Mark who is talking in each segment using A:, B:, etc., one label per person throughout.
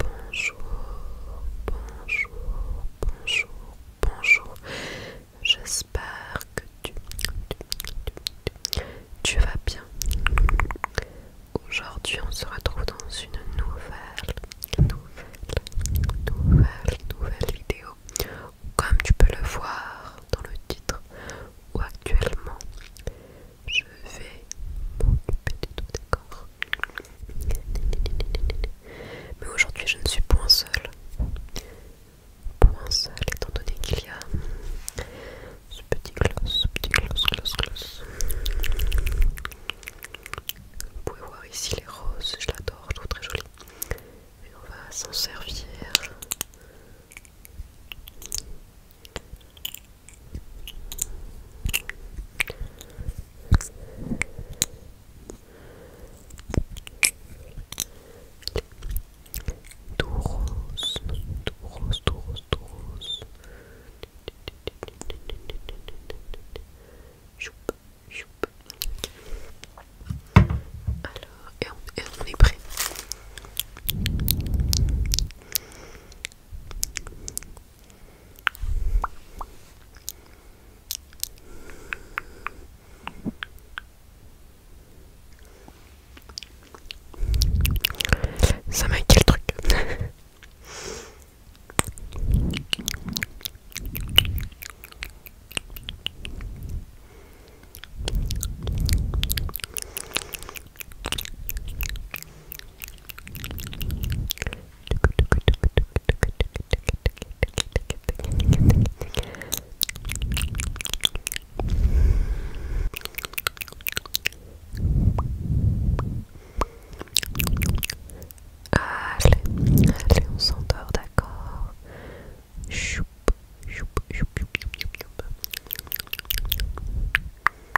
A: Bonjour, bonjour, bonjour, bonjour. J'espère que tu, tu, vas bien. Aujourd'hui, on se retrouve dans une nouvelle, nouvelle, nouvelle, nouvelle vidéo. Comme tu peux le voir dans le titre, ou actuellement je vais m'occuper des tout, d'accord Mais aujourd'hui, je ne suis point seule. Point seule, étant donné qu'il y a ce petit gloss, ce petit gloss, gloss, gloss. Vous pouvez voir ici les roses, je l'adore, je trouve très jolie. Et on va s'en servir Touros, touros, touros, Alors, et on est prêt. Ça m'a quel truc Allez, allez, on d'accord Choup, choup, choup, choup, choup, choup.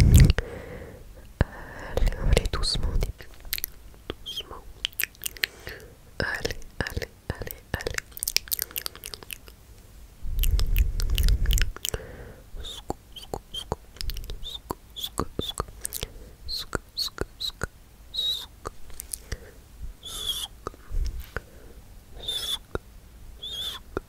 A: Euh, allez, doucement Doucement. Allez, allez, allez, allez.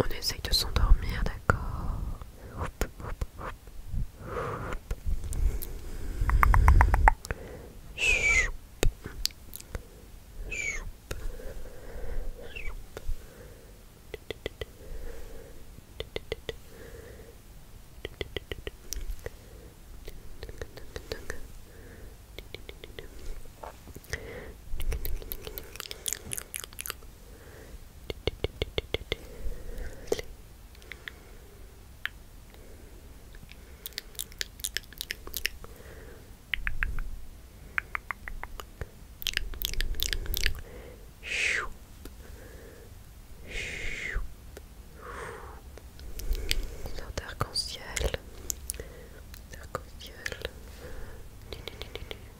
A: On essaye de s'endormir, d'accord Chou. Chou. en ciel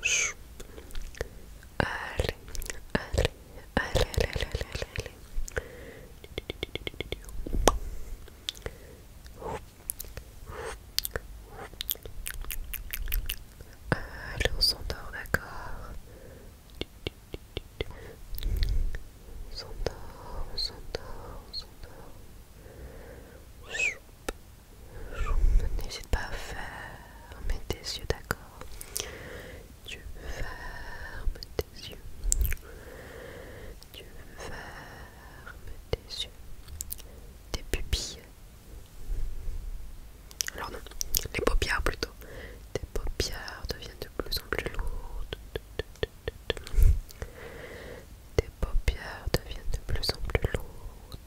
A: Chou. Allez, allez, allez, on s'endort, d'accord N'hésite pas à fermer tes yeux, d'accord Tu fermes tes yeux. Tu fermes tes yeux. Tes pupilles. Alors non, les paupières plutôt. Tes paupières deviennent de plus en plus lourdes. Tes paupières deviennent de plus en plus lourdes.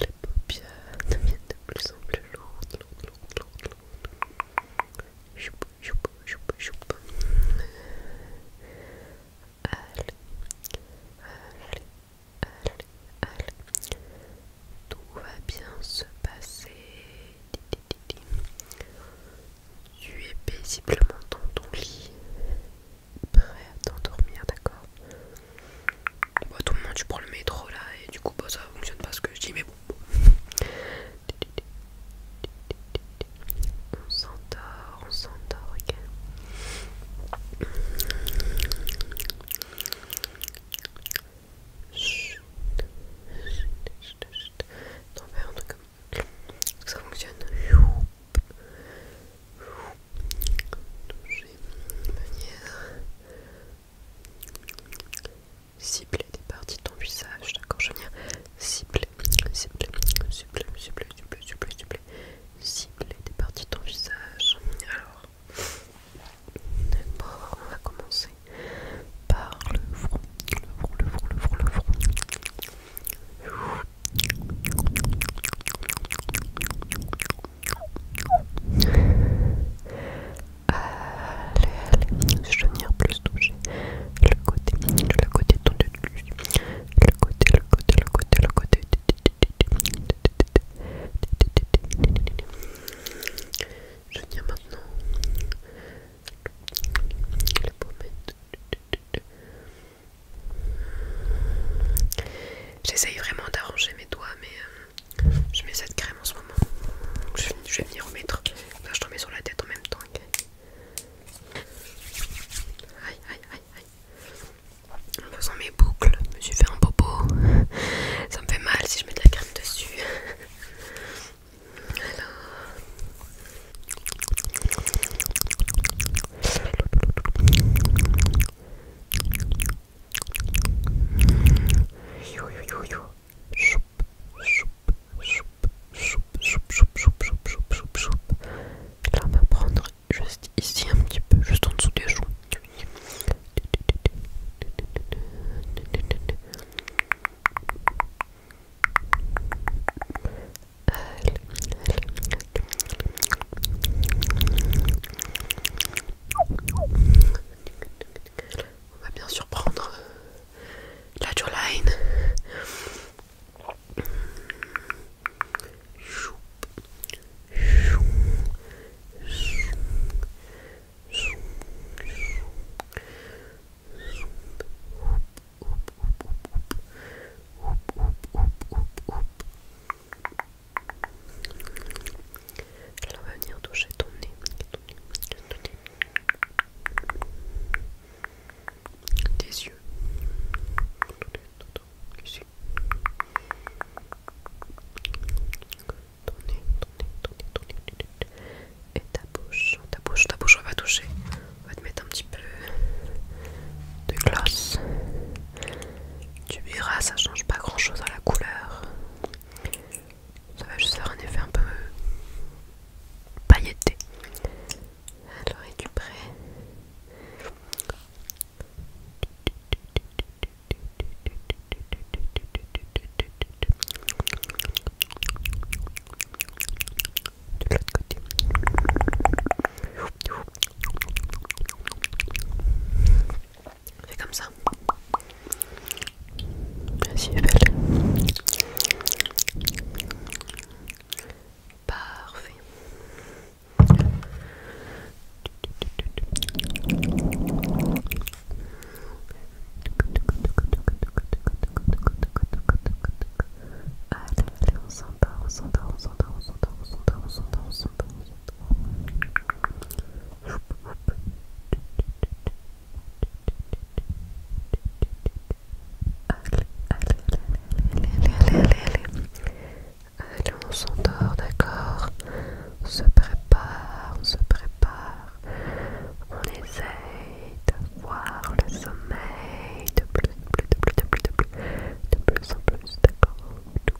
A: Les paupières devient de plus en plus lourdes, lourdes, lourdes, lourdes, lourdes. Choup, choup, choup, choup. Allez, allez, allez, allez. Tout va bien se passer. Tu es paisiblement dans ton lit prêt à t'endormir, d'accord bah, tout tout monde, tu prends le métro là et du coup, bah, ça fonctionne pas ce que je dis, mais bon. On s'endort, on s'endort, ok Chut, chut, un truc comme ça fonctionne je vais venir cibler des parties de ton visage, d'accord Je viens cibler, cibler, cibler, cibler, cibler, cibler, cibler, cibler des parties de ton visage. Alors, d'abord, on va commencer par le front, le front, le front, le front, le front. Allez, allez, je viens plus toucher le côté, le côté côté, le côté, le côté, le côté, le côté. Je viens maintenant le J'essaye vraiment d'arranger mes doigts, mais euh, je mets cette crème en ce moment. je, vais venir remettre. je te sur la tête en même temps. Aïe, aïe, aïe, aïe. En faisant mes boucles, je me suis fait un bobo Ça me fait mal si je mets de la crème dessus. Alors. Là on va prendre juste ici un petit peu, juste en dessous des joues. On va bien sûr prendre euh, la jawline. Elle on va venir toucher ton nez. Tes yeux. Ici. Ton nez, ton nez, ton nez, ton nez. Et ta bouche, ta bouche, ta bouche, on va toucher. On va te mettre un petit peu de gloss. Tu verras, ça change pas grand chose à la couleur. Ça va juste faire un effet un peu pailleté. Alors, es-tu prêt de l'autre côté. Fais comme ça. Merci, belle. Parfait. Allez, allez, on s'endort, on s'endort, on s'endort, on s'endort, on on allez, allez, allez, allez, allez, on s'endort, d'accord On se prépare, on se prépare. On essaye de voir le sommeil de plus, de plus, de plus, de plus, de plus en plus, d'accord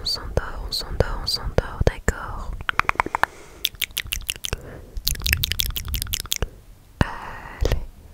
A: On s'endort, on s'endort, on s'endort, on s'endort, d'accord. Allez,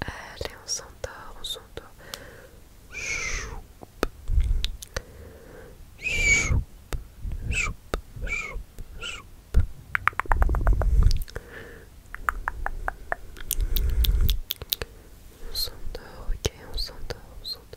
A: Allez, on s'endort, on s'endort. Choup, choup, choup, choup, choup. On s'endort, ok, on s'endort, on s'endort.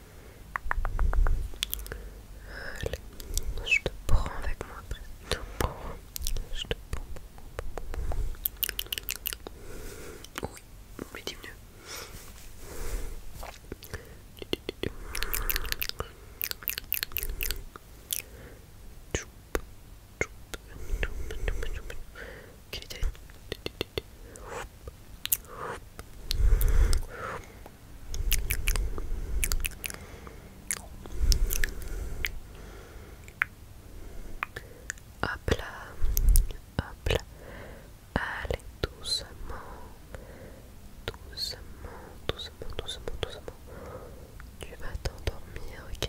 A: Allez, je te prends avec moi Je Oui, dis mieux. Hop là, hop là, allez doucement, doucement, doucement, doucement, doucement. Tu vas t'endormir, ok.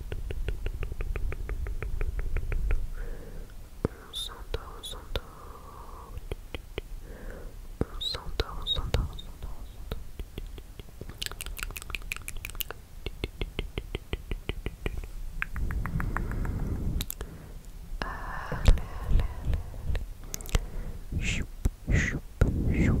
A: On s'endort, on s'endort. On s'endort, on s'endort, on s'endort, Allez, ah, allez, allez. choup, choup, choup.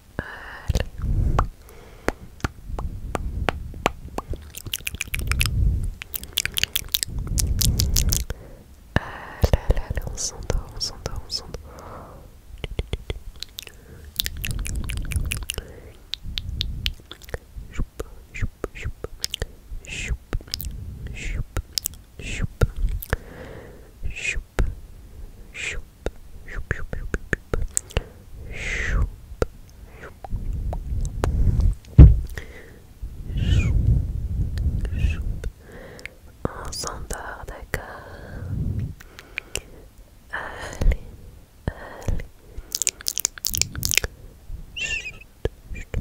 A: Allez. Allez, allez, allez, on s'endort, on s'endort, on s'endort. Choup, choup, choup, choup, choup, choup, choup, choup. On s'endort, d'accord Allez, allez. Chut, chut.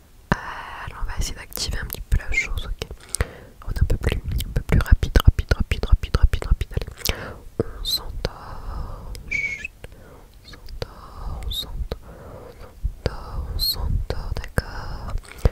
A: Alors on va essayer d'activer un petit peu la chose, ok On est un peu plus, un peu plus rapide, rapide, rapide, rapide, rapide, rapide. Allez. On s'endort, on s'endort, on s'entend on s'entend d'accord d'accord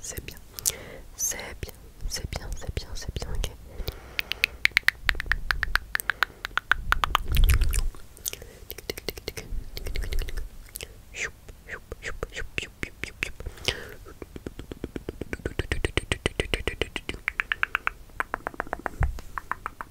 A: C'est bien, c'est bien, c'est bien, c'est bien, c'est bien, ok.